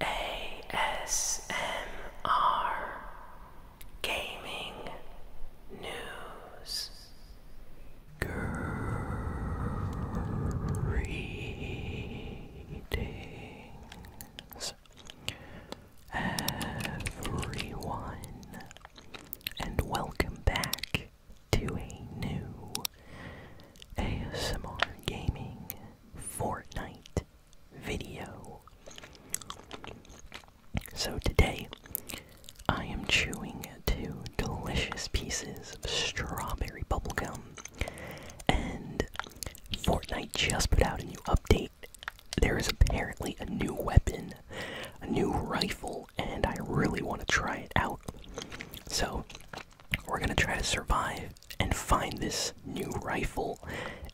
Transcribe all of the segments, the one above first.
ASMR Gaming News Greetings everyone and welcome back to a new ASMR Gaming Fortnite video. So today, I am chewing two delicious pieces of strawberry bubble gum, And Fortnite just put out a new update. There is apparently a new weapon, a new rifle, and I really want to try it out. So, we're gonna try to survive and find this new rifle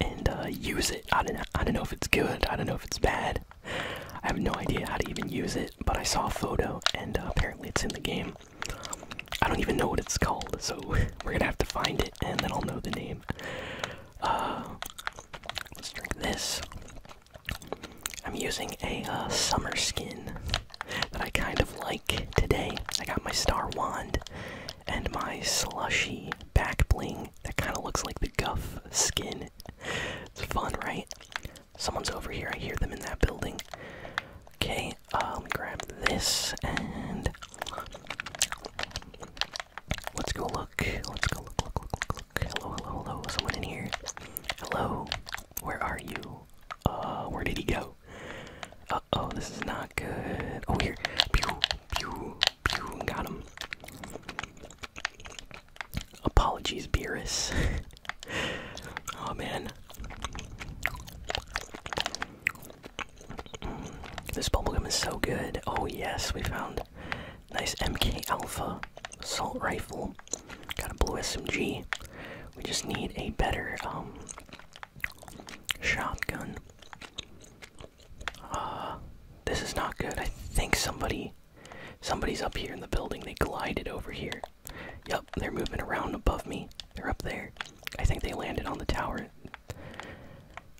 and uh, use it. I don't, I don't know if it's good, I don't know if it's bad. I have no idea how to even use it, but I saw a photo and uh, apparently it's in the game. I don't even know what it's called, so we're gonna have to find it and then I'll know the name. Uh, let's drink this. I'm using a summer skin that I kind of like today. I got my star wand and my slushy back bling that kind of looks like the guff skin. It's fun, right? Someone's over here. I hear them in that building. Okay, let um, me grab this and let's go look. Let's go look, look, look, look, Hello, hello, hello. Someone in here. Hello. Where are you? Uh, where did he go? Uh oh, this is not good. Oh, here. Pew, pew, pew. Got him. Apologies, Beerus. oh, man. Mm, this bubblegum is so good. Oh, yes, we found nice MK Alpha assault rifle. Got a blue SMG. We just need a better um, Shotgun. Uh, this is not good. I think somebody, somebody's up here in the building. They glided over here. Yep, they're moving around above me. They're up there. I think they landed on the tower.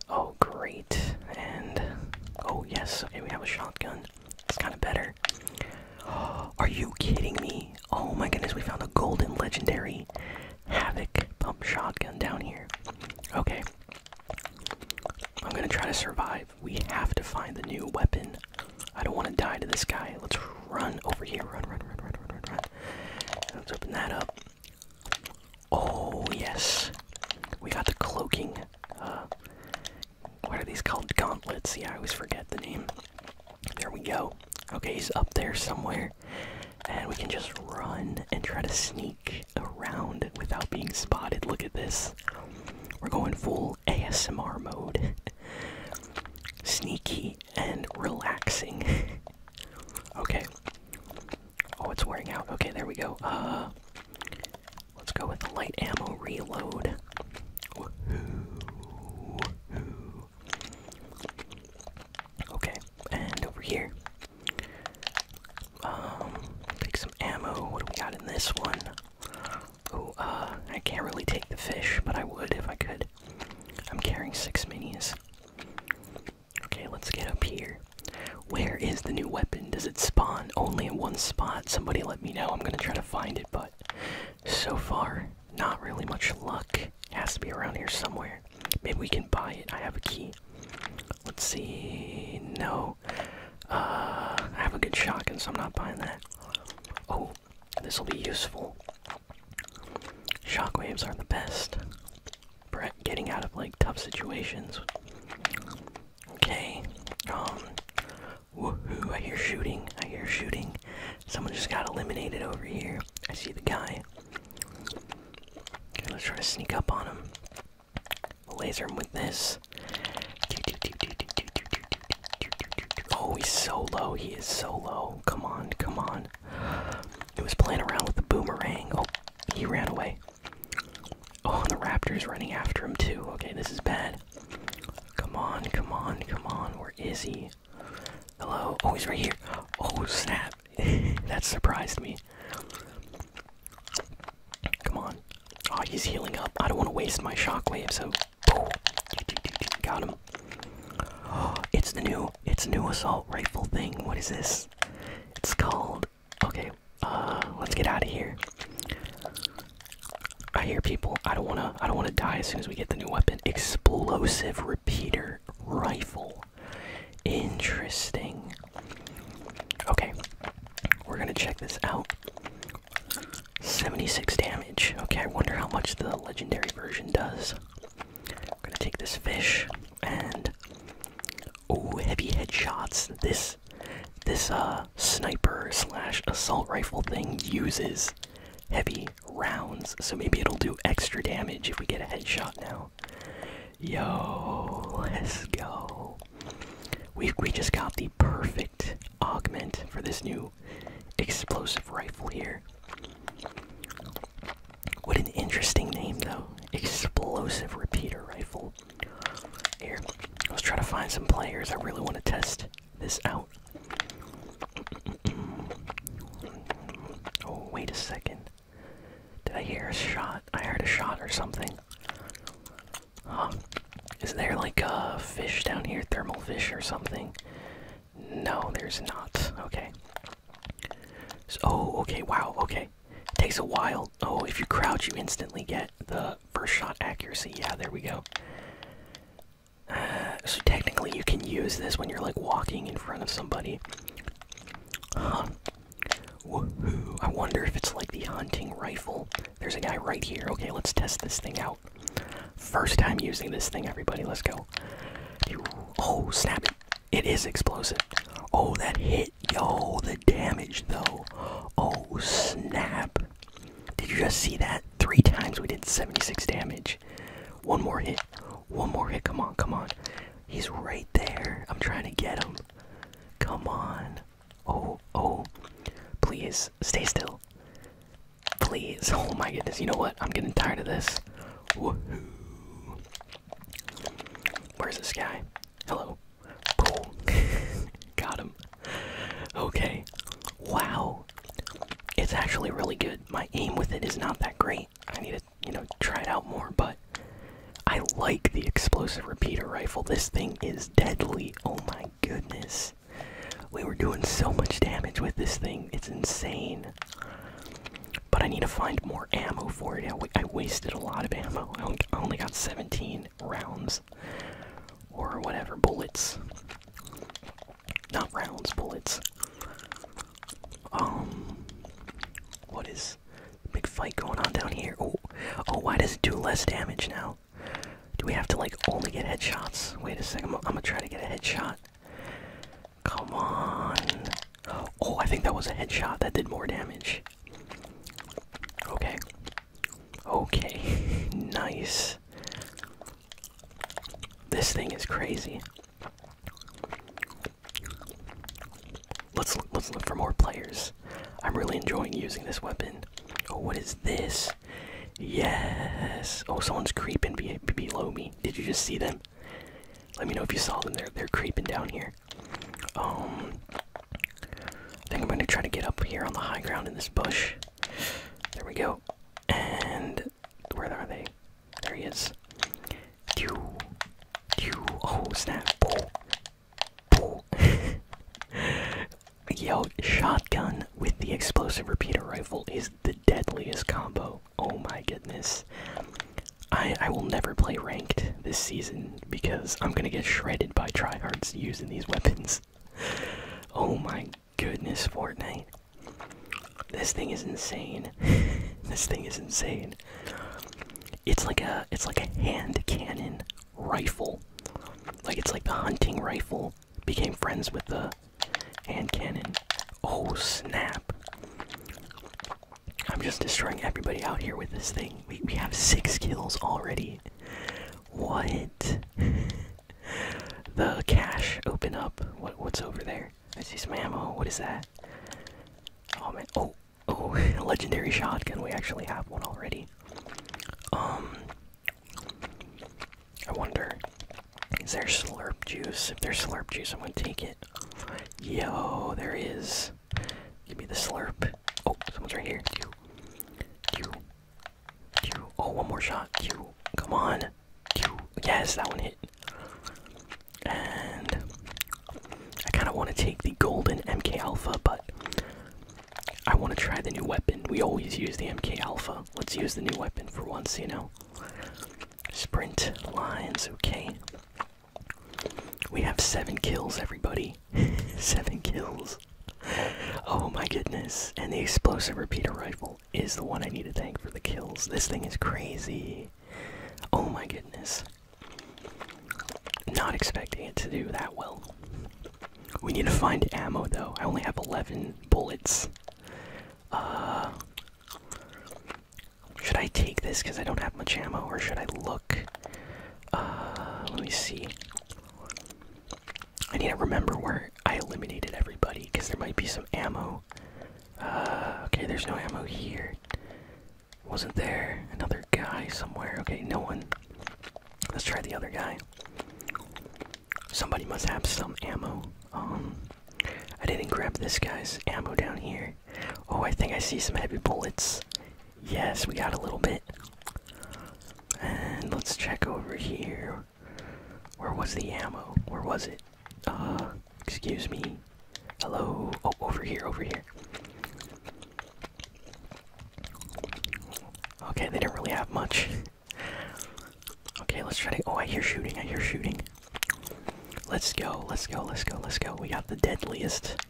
Oh, great. And, oh yes, okay, we have a shotgun. It's kind of better. Are you kidding me? Oh my goodness, we found a golden legendary Havoc pump shotgun down here. Okay. I'm gonna try to survive. We have to find the new weapon. I don't want to die to this guy. Let's run over here. Run, run, run, run, run, run, run. Let's open that up. Oh, yes. We got the cloaking. Uh, what are these called? Gauntlets. See, I always forget the name. There we go. Okay, he's up there somewhere. And we can just run and try to sneak around without being spotted. Look at this. We're going full ASMR mode. Sneaky and relaxing. okay. Oh, it's wearing out. Okay, there we go. Uh, let's go with the light ammo reload. Okay, and over here. Um, take some ammo. What do we got in this one? Oh, uh, I can't really take the fish, but I would if I could. I'm carrying six minis. Okay, let's get up here. Where is the new weapon? Does it spawn only in one spot? Somebody let me know. I'm gonna try to find it, but so far, not really much luck. Has to be around here somewhere. Maybe we can buy it. I have a key. Let's see. No. Uh, I have a good shotgun, so I'm not buying that. Oh, this will be useful. Shockwaves are the best. Brett getting out of like tough situations. Okay. Um. Woohoo! I hear shooting. I hear shooting. Someone just got eliminated over here. I see the guy. Okay, let's try to sneak up on him. We'll laser him with this. Oh, he's so low. He is so low. Come on, come on. It was playing around with the boomerang. Oh, he ran away. Oh, and the raptor's running after him, too. Okay, this is bad. Come on, come on, come on. Where is he? Hello. Oh, right here. Oh, snap. that surprised me. Come on. Oh, he's healing up. I don't want to waste my shockwave, so. Oh, got him. it's the new, it's new assault rifle thing. What is this? It's called. Okay. Uh, let's get out of here. I hear people. I don't wanna. I don't wanna die as soon as we get the new weapon. Explosive repeater rifle. Interesting. Okay, we're gonna check this out. 76 damage. Okay, I wonder how much the legendary version does. I'm gonna take this fish and oh, heavy headshots. This this uh sniper slash assault rifle thing uses heavy rounds, so maybe it'll do extra damage if we get a headshot now. Yo, let's go. We we just got the perfect augment for this new explosive rifle here. What an interesting name though. Explosive repeater rifle. Here, let's try to find some players. I really want to test this out. oh, wait a second. Did I hear a shot? I heard a shot or something. Huh. Is there like a fish down here, thermal fish or something? No, there's not. Okay. oh, okay, wow, okay. takes a while. Oh, if you crouch, you instantly get the first shot accuracy. Yeah, there we go so technically, you can use this when you're like walking in front of somebody. Huh. Woohoo! I wonder if it's like the hunting rifle. There's a guy right here. Okay, let's test this thing out. First time using this thing, everybody. Let's go. Oh, snap it. It is explosive. Oh, that hit. Yo, the damage, though. Oh, snap. Did you just see that? three times. We did 76 damage. One more hit. One more hit. Come on, come on. He's right there. I'm trying to get him. Come on. Oh, oh. Please, stay still. Please. Oh my goodness. You know what? I'm getting tired of this. Woohoo. Where's this guy? Hello. Got him okay. Wow. It's actually really good. My aim with it is not that great. I need to, you know, try it out more, but I like the explosive repeater rifle. This thing is deadly. Oh my goodness. We were doing so much damage with this thing. It's insane. But I need to find more ammo for it. I, wasted a lot of ammo. I only got 17 rounds or whatever bullets. Not rounds, bullets. Um, what is big fight going on down here? Oh, oh, why does it do less damage now? Do we have to like only get headshots? Wait a 2nd i I'm gonna try to get a headshot. Come on. Oh, I think that was a headshot that did more damage. Okay. Okay. nice. This thing is crazy. Let's look, let's look for more players. I'm really enjoying using this weapon. Oh, what is this? Yes. Oh, someone's creeping below me. Did you just see them? Let me know if you saw them. They're they're creeping down here. Um, I think I'm gonna try to get up here on the high ground in this bush. There we go. And where are they? There he is. Pew. Pew. Oh, snap. Pull. Pull. Yo, shotgun with the explosive repeater rifle is the deadliest combo. Oh my goodness. I I will never play ranked this season because I'm gonna get shredded by tryhards using these weapons. Oh my goodness, Fortnite. This thing is insane. this thing is insane. It's like a it's like a hand cannon rifle. Like it's like the hunting rifle became friends with the hand cannon. Oh snap. I'm just destroying everybody out here with this thing. We we have six kills already. What? the cache open up. What what's over there? I see some ammo. What is that? Oh man. Oh oh, legendary shotgun. We actually have one already. Um, I wonder. Is there slurp juice? If there's slurp juice, I'm gonna take it. Yo, there is. Give me the slurp. Oh, someone's right here. You, you, Q. Oh, one more shot. Q. Come on. Q. Yes, that one hit. And I kind of want to take the golden MK Alpha, but I want to try the new weapon. We always use the MK Alpha. Let's use the new weapon for once, you know. Sprint lines, okay. We have seven kills, everybody. seven kills. oh my goodness. And the explosive repeater rifle is the one I need to thank for the kills. This thing is crazy. Oh my goodness. Not expecting it to do that well. We need to find ammo though. I only have 11 bullets. Uh, should I take this because I don't have much ammo, or should I look? Uh, let me see. I need to remember where I eliminated everybody because there might be some ammo. Uh, okay, there's no ammo here. Wasn't there another guy somewhere? Okay, no one. Let's try the other guy. Somebody must have some ammo. Um, I didn't grab this guy's ammo down here. Oh, I think I see some heavy bullets. Yes, we got a little bit. And let's check over here. Where was the ammo? Where was it? Uh, excuse me. Hello? Oh, over here, over here. Okay, they didn't really have much. okay, let's try to. Oh, I hear shooting, I hear shooting. Let's go, let's go, let's go, let's go. We got the deadliest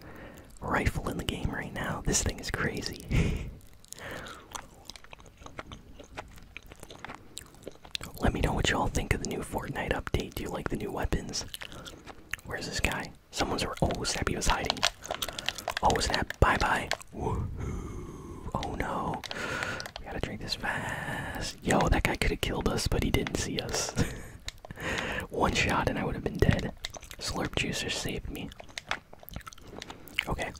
rifle in the game right now. This thing is crazy. Let me know what y'all think of the new Fortnite update. Do you like the new weapons? Where's this guy? Someone's oh snap! He was hiding. Oh snap! Bye bye. Woohoo! Oh no! We gotta drink this fast. Yo, that guy could have killed us, but he didn't see us. One shot and I would have been dead. Slurp juicer saved me. Okay,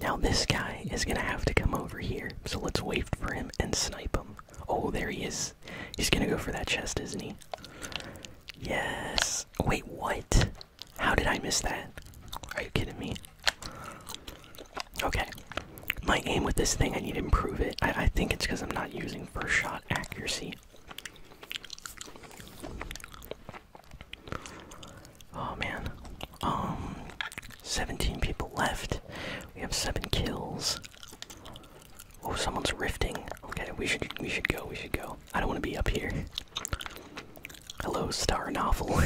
now this guy is gonna have to come over here, so let's wait for him and snipe him. Oh, there he is. He's gonna go for that chest, isn't he? Yes. Wait, what? How did I miss that? Are you kidding me? Okay. My aim with this thing, I need to improve it. I, I think it's because I'm not using first shot accuracy. Oh man. Um 17 people left. We have 7 kills. Oh, someone's riffing. Okay, we should we should go. We should go. I don't want to be up here. Hello, Star Novel.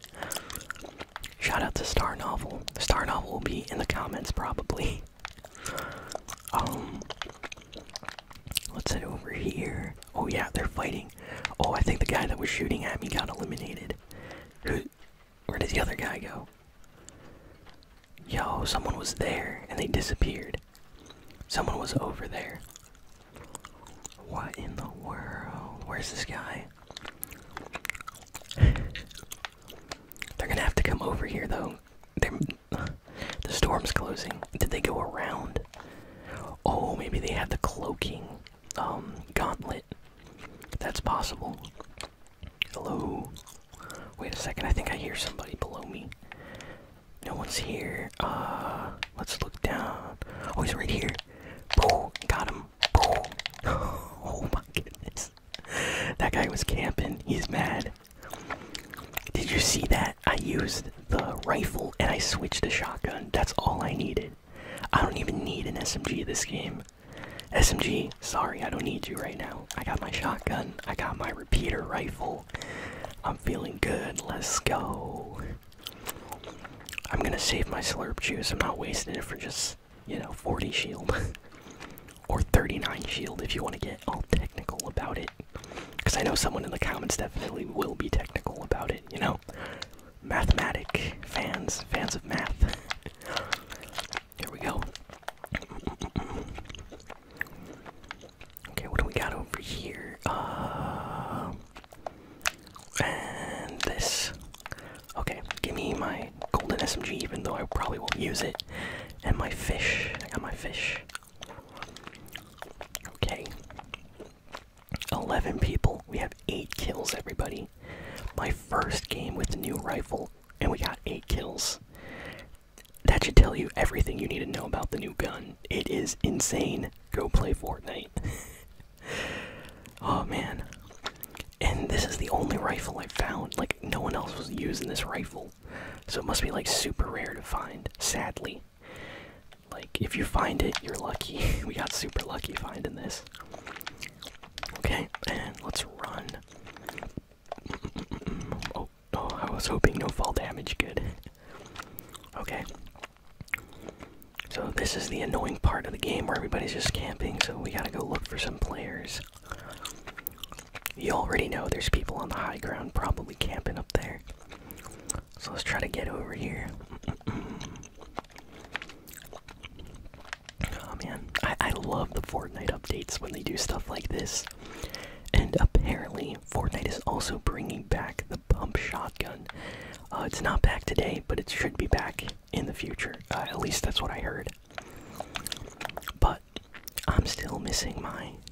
Shout out to Star Novel. Star Novel will be in the comments probably. Um Let's head over here. Oh yeah, they're fighting. Oh, I think the guy that was shooting at me got eliminated. Who? Where did the other guy go? Yo, someone was there and they disappeared. Someone was over there. What in the world? Where's this guy? They're gonna have to come over here though. the storm's closing. Did they go around? Oh, maybe they had the cloaking um, gauntlet. That's possible. Hello. Wait a second. I think I hear somebody below me. No one's here. Uh, let's look down. Oh, he's right here. Boom! Got him. Boom! Oh my goodness. That guy was camping. He's mad. Did you see that? I used the rifle and I switched to shotgun. That's all I needed. I don't even need an SMG this game. SMG, sorry, I don't need you right now. I got my shotgun, I got my repeater rifle. I'm feeling good, let's go. I'm gonna save my slurp juice, I'm not wasting it for just, you know, 40 shield. or 39 shield if you wanna get all technical about it. Because I know someone in the comments definitely will be technical about it, you know? Mathematic fans, fans of math. Here we go. Okay, what do we got over here? Uh, and this. Okay, give me my golden SMG, even though I probably won't use it. And my fish. I got my fish. Okay. 11 people. We have 8 kills, everybody. My first game with the new rifle, and we got 8 kills. That should tell you everything you need to know about the new gun. It is insane. Go play Fortnite. oh man. And this is the only rifle I found. Like, no one else was using this rifle. So it must be like super rare to find, sadly. Like, if you find it, you're lucky. we got super lucky finding this. Okay, and let's run. Oh, oh, I was hoping no fall damage. Good. Okay. So, this is the annoying part of the game where everybody's just camping, so we gotta go look for some players. You already know there's people on the high ground probably camping up there. So let's try to get over here. oh man, I, I love the Fortnite updates when they do stuff like this. And apparently, Fortnite is also bringing back the pump shotgun. Uh, it's not back today, but it should be back in the future. Uh, at least that's what I heard. But I'm still missing my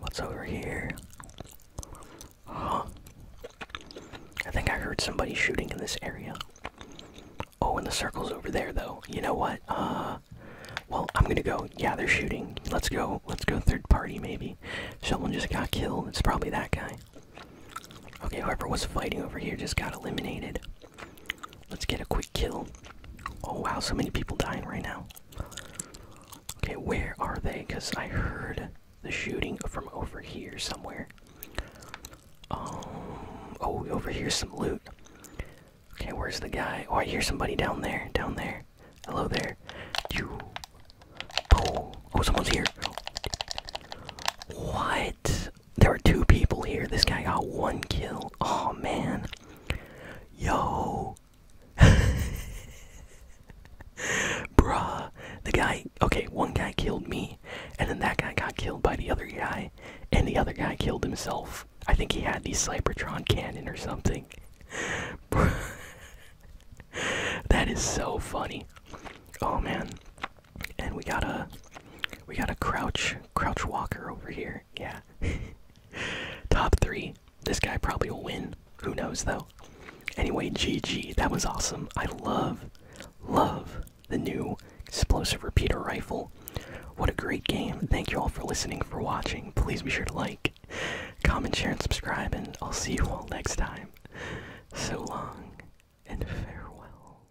What's over here? Huh? I think I heard somebody shooting in this area. Oh, and the circle's over there, though. You know what? Uh, well, I'm gonna go. Yeah, they're shooting. Let's go. Let's go third party, maybe. Someone just got killed. It's probably that guy. Okay, whoever was fighting over here just got eliminated. Let's get a quick kill. Oh wow, so many people dying right now. Okay, where are they? Because I heard the shooting from over here somewhere. Um, oh, over here's some loot. Okay, where's the guy? Oh, I hear somebody down there. Down there. Hello there. You. Oh, oh someone's here. What? there are two people here. This guy got one kill. Oh man. Yo. Bruh. The guy okay, one guy killed me, and then that guy got killed by the other guy, and the other guy killed himself. I think he had the Cybertron cannon or something. that is so funny. Oh man. And we got a we got a crouch crouch walker over here. Yeah. Top three. This guy probably will win. Who knows though? Anyway, GG. That was awesome. I love, love the new explosive repeater rifle. What a great game. Thank you all for listening, for watching. Please be sure to like, comment, share, and subscribe, and I'll see you all next time. So long and farewell.